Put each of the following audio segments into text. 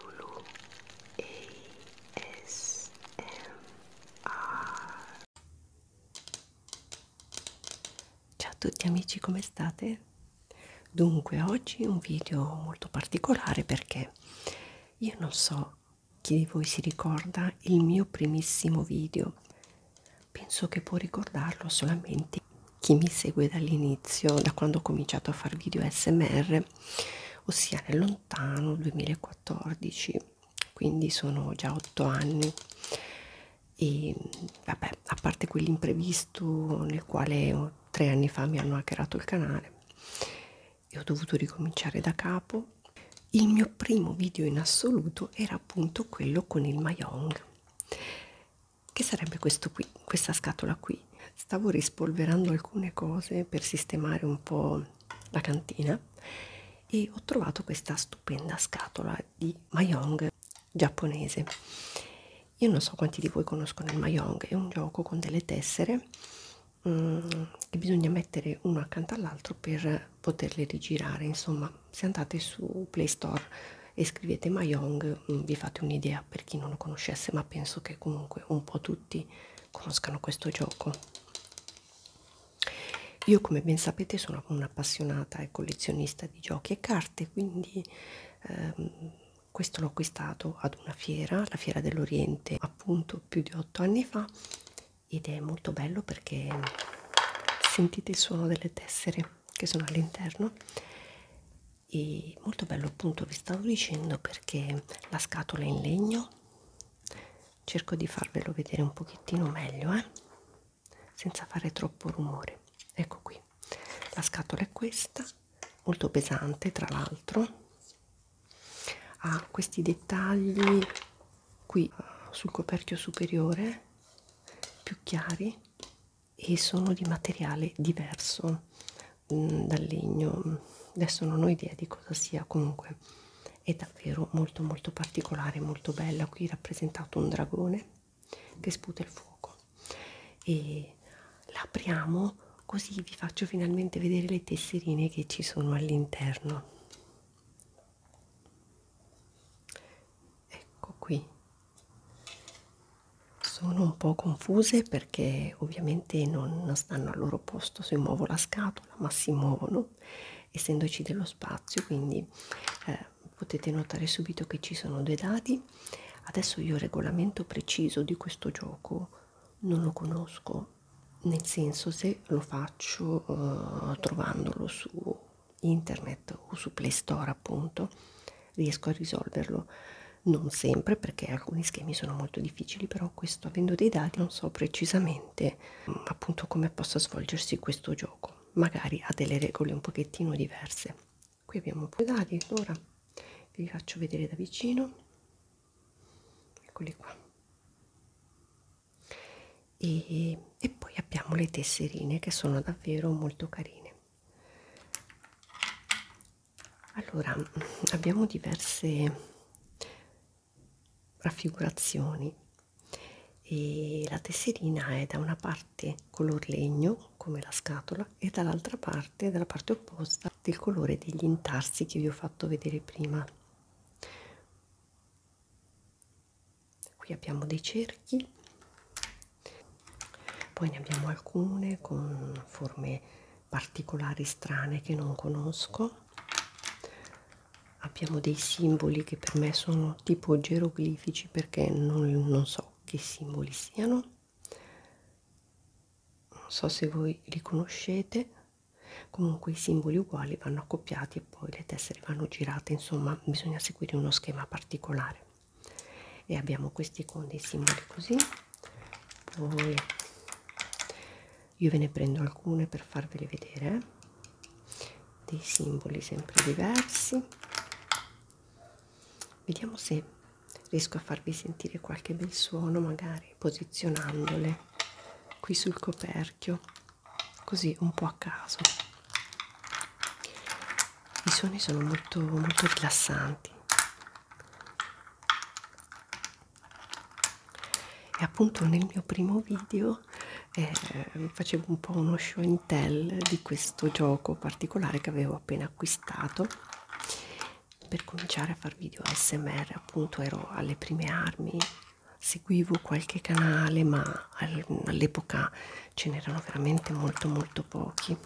Lulu ASMR Ciao a tutti amici, come state? Dunque, oggi un video molto particolare perché io non so chi di voi si ricorda il mio primissimo video. Penso che può ricordarlo solamente chi mi segue dall'inizio, da quando ho cominciato a fare video smr, ossia nel lontano 2014, quindi sono già otto anni e vabbè, a parte quell'imprevisto nel quale tre anni fa mi hanno hackerato il canale e ho dovuto ricominciare da capo, il mio primo video in assoluto era appunto quello con il Mahjong che sarebbe questo qui, questa scatola qui? Stavo rispolverando alcune cose per sistemare un po' la cantina e ho trovato questa stupenda scatola di Mahjong giapponese. Io non so quanti di voi conoscono il Mahjong, è un gioco con delle tessere um, che bisogna mettere uno accanto all'altro per poterle rigirare. Insomma, se andate su Play Store e scrivete Mahjong Mm, vi fate un'idea per chi non lo conoscesse ma penso che comunque un po' tutti conoscano questo gioco io come ben sapete sono un'appassionata e collezionista di giochi e carte quindi ehm, questo l'ho acquistato ad una fiera la fiera dell'oriente appunto più di otto anni fa ed è molto bello perché sentite il suono delle tessere che sono all'interno e molto bello appunto vi stavo dicendo perché la scatola è in legno cerco di farvelo vedere un pochettino meglio eh? senza fare troppo rumore ecco qui la scatola è questa molto pesante tra l'altro ha questi dettagli qui eh, sul coperchio superiore più chiari e sono di materiale diverso mh, mm, dal legno adesso non ho idea di cosa sia comunque è davvero molto molto particolare molto bella qui rappresentato un dragone che sputa il fuoco e l'apriamo così vi faccio finalmente vedere le tesserine che ci sono all'interno ecco qui sono un po' confuse perché ovviamente non stanno al loro posto se muovo la scatola ma si muovono essendoci dello spazio quindi eh, potete notare subito che ci sono due dadi adesso io il regolamento preciso di questo gioco non lo conosco nel senso se lo faccio eh, trovandolo su internet o su Play Store appunto riesco a risolverlo non sempre perché alcuni schemi sono molto difficili però questo avendo dei dati non so precisamente mm, appunto come possa svolgersi questo gioco magari ha delle regole un pochettino diverse qui abbiamo un po' di dati ora vi faccio vedere da vicino eccoli qua e, e poi abbiamo le tesserine che sono davvero molto carine allora abbiamo diverse raffigurazioni e la tesserina è da una parte color legno come la scatola e dall'altra parte dalla parte opposta del colore degli intarsi che vi ho fatto vedere prima qui abbiamo dei cerchi poi ne abbiamo alcune con forme particolari strane che non conosco abbiamo dei simboli che per me sono tipo geroglifici perché non, non so che simboli siano non so se voi li conoscete comunque i simboli uguali vanno accoppiati perché poi le tessere vanno girate, insomma bisogna seguire uno schema particolare. E abbiamo questi con dei simboli così. Poi io ve ne prendo alcune per farveli vedere, eh? dei simboli sempre diversi. Vediamo se riesco a farvi sentire qualche bel suono magari posizionandole qui sul coperchio così un po' a caso i suoni sono molto molto rilassanti e appunto nel mio primo video eh, facevo un po' uno show and tell di questo gioco particolare che avevo appena acquistato per cominciare a fare video ASMR appunto ero alle prime armi seguivo qualche canale ma all'epoca ce n'erano veramente molto molto pochi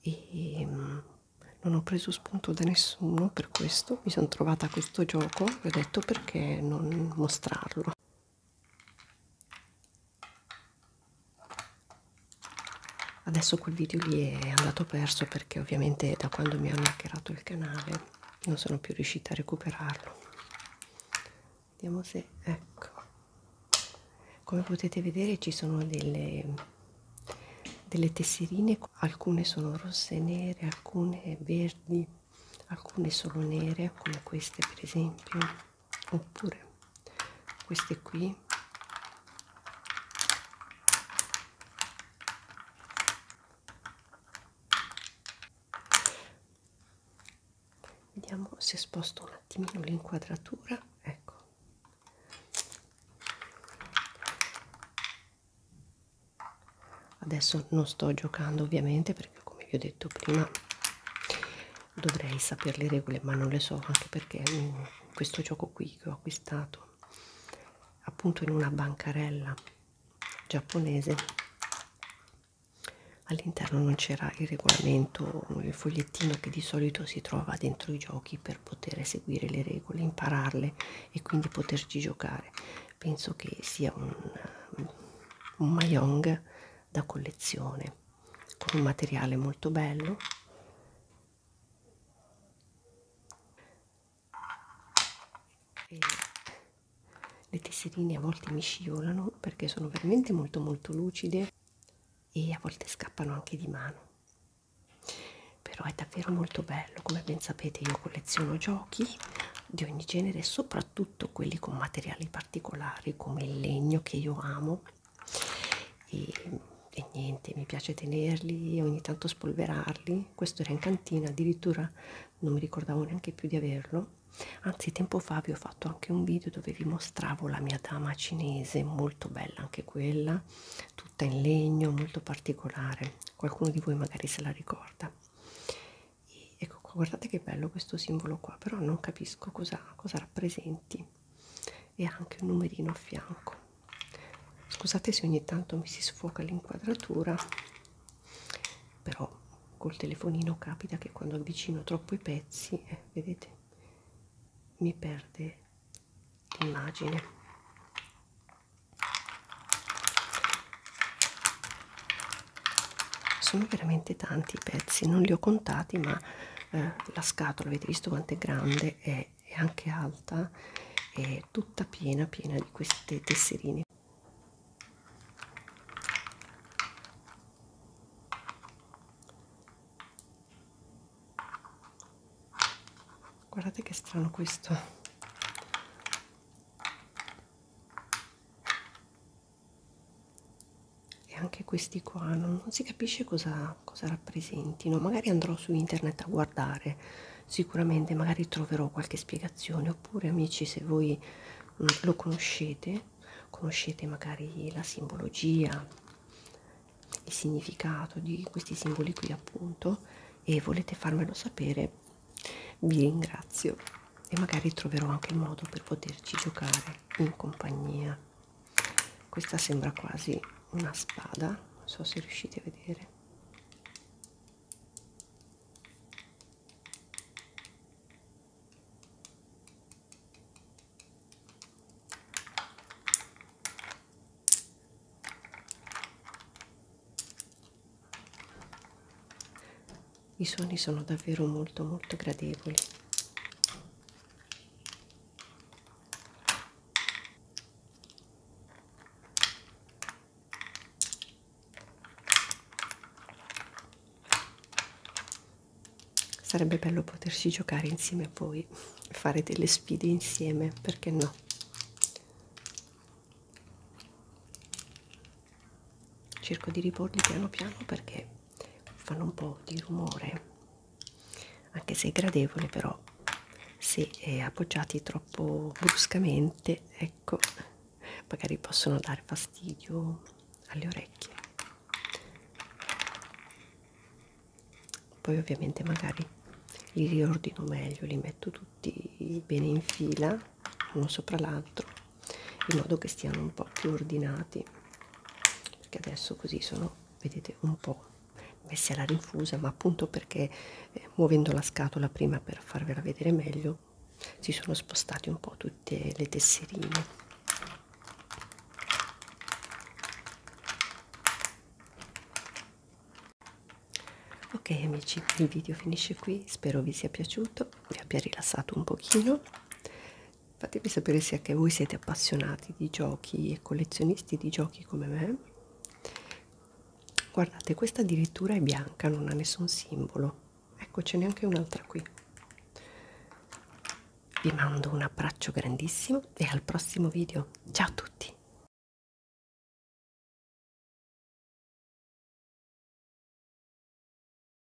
e mm, non ho preso spunto da nessuno per questo mi sono trovata a questo gioco e ho detto perché non mostrarlo adesso quel video lì è andato perso perché ovviamente da quando mi hanno hackerato il canale non sono più riuscita a recuperarlo vediamo se ecco come potete vedere ci sono delle delle tesserine alcune sono rosse e nere alcune verdi alcune solo nere come queste per esempio oppure queste qui vediamo se sposto un attimino l'inquadratura ecco adesso non sto giocando ovviamente perché come vi ho detto prima dovrei sapere le regole ma non le so anche perché mm, questo gioco qui che ho acquistato appunto in una bancarella giapponese all'interno non c'era il regolamento il fogliettino che di solito si trova dentro i giochi per poter seguire le regole impararle e quindi poterci giocare penso che sia un, un mayong da collezione con un materiale molto bello e le tesserine a volte mi scivolano perché sono veramente molto molto lucide e a volte scappano anche di mano però è davvero molto bello come ben sapete io colleziono giochi di ogni genere soprattutto quelli con materiali particolari come il legno che io amo e, e niente, mi piace tenerli e ogni tanto spolverarli. Questo era in cantina, addirittura non mi ricordavo neanche più di averlo. Anzi, tempo fa vi ho fatto anche un video dove vi mostravo la mia dama cinese, molto bella anche quella, tutta in legno, molto particolare. Qualcuno di voi magari se la ricorda. E ecco qua, guardate che bello questo simbolo qua, però non capisco cosa, cosa rappresenti e anche un numerino a fianco scusate se ogni tanto mi si sfoca l'inquadratura però col telefonino capita che quando avvicino troppo i pezzi eh, vedete mi perde l'immagine sono veramente tanti i pezzi non li ho contati ma eh, la scatola avete visto quanto è grande è è anche alta è tutta piena piena di queste tesserine guardate che strano questo e anche questi qua non, non si capisce cosa cosa rappresentino magari andrò su internet a guardare sicuramente magari troverò qualche spiegazione oppure amici se voi mh, mm, lo conoscete conoscete magari la simbologia il significato di questi simboli qui appunto e volete farmelo sapere vi ringrazio e magari troverò anche il modo per poterci giocare in compagnia questa sembra quasi una spada non so se riuscite a vedere i suoni sono davvero molto molto gradevoli Sarebbe bello poterci giocare insieme a voi, fare delle sfide insieme, perché no? Cerco di riporli piano piano perché fanno un po' di rumore anche se è gradevole però se è appoggiati troppo bruscamente ecco magari possono dare fastidio alle orecchie poi ovviamente magari li riordino meglio li metto tutti bene in fila uno sopra l'altro in modo che stiano un po' più ordinati perché adesso così sono vedete un po' messi alla rinfusa ma appunto perché eh, muovendo la scatola prima per farvela vedere meglio si sono spostati un po' tutte le tesserine ok amici il video finisce qui spero vi sia piaciuto vi abbia rilassato un pochino fatemi sapere se anche voi siete appassionati di giochi e collezionisti di giochi come me guardate questa addirittura è bianca non ha nessun simbolo ecco ce n'è anche un'altra qui vi mando un abbraccio grandissimo e al prossimo video ciao a tutti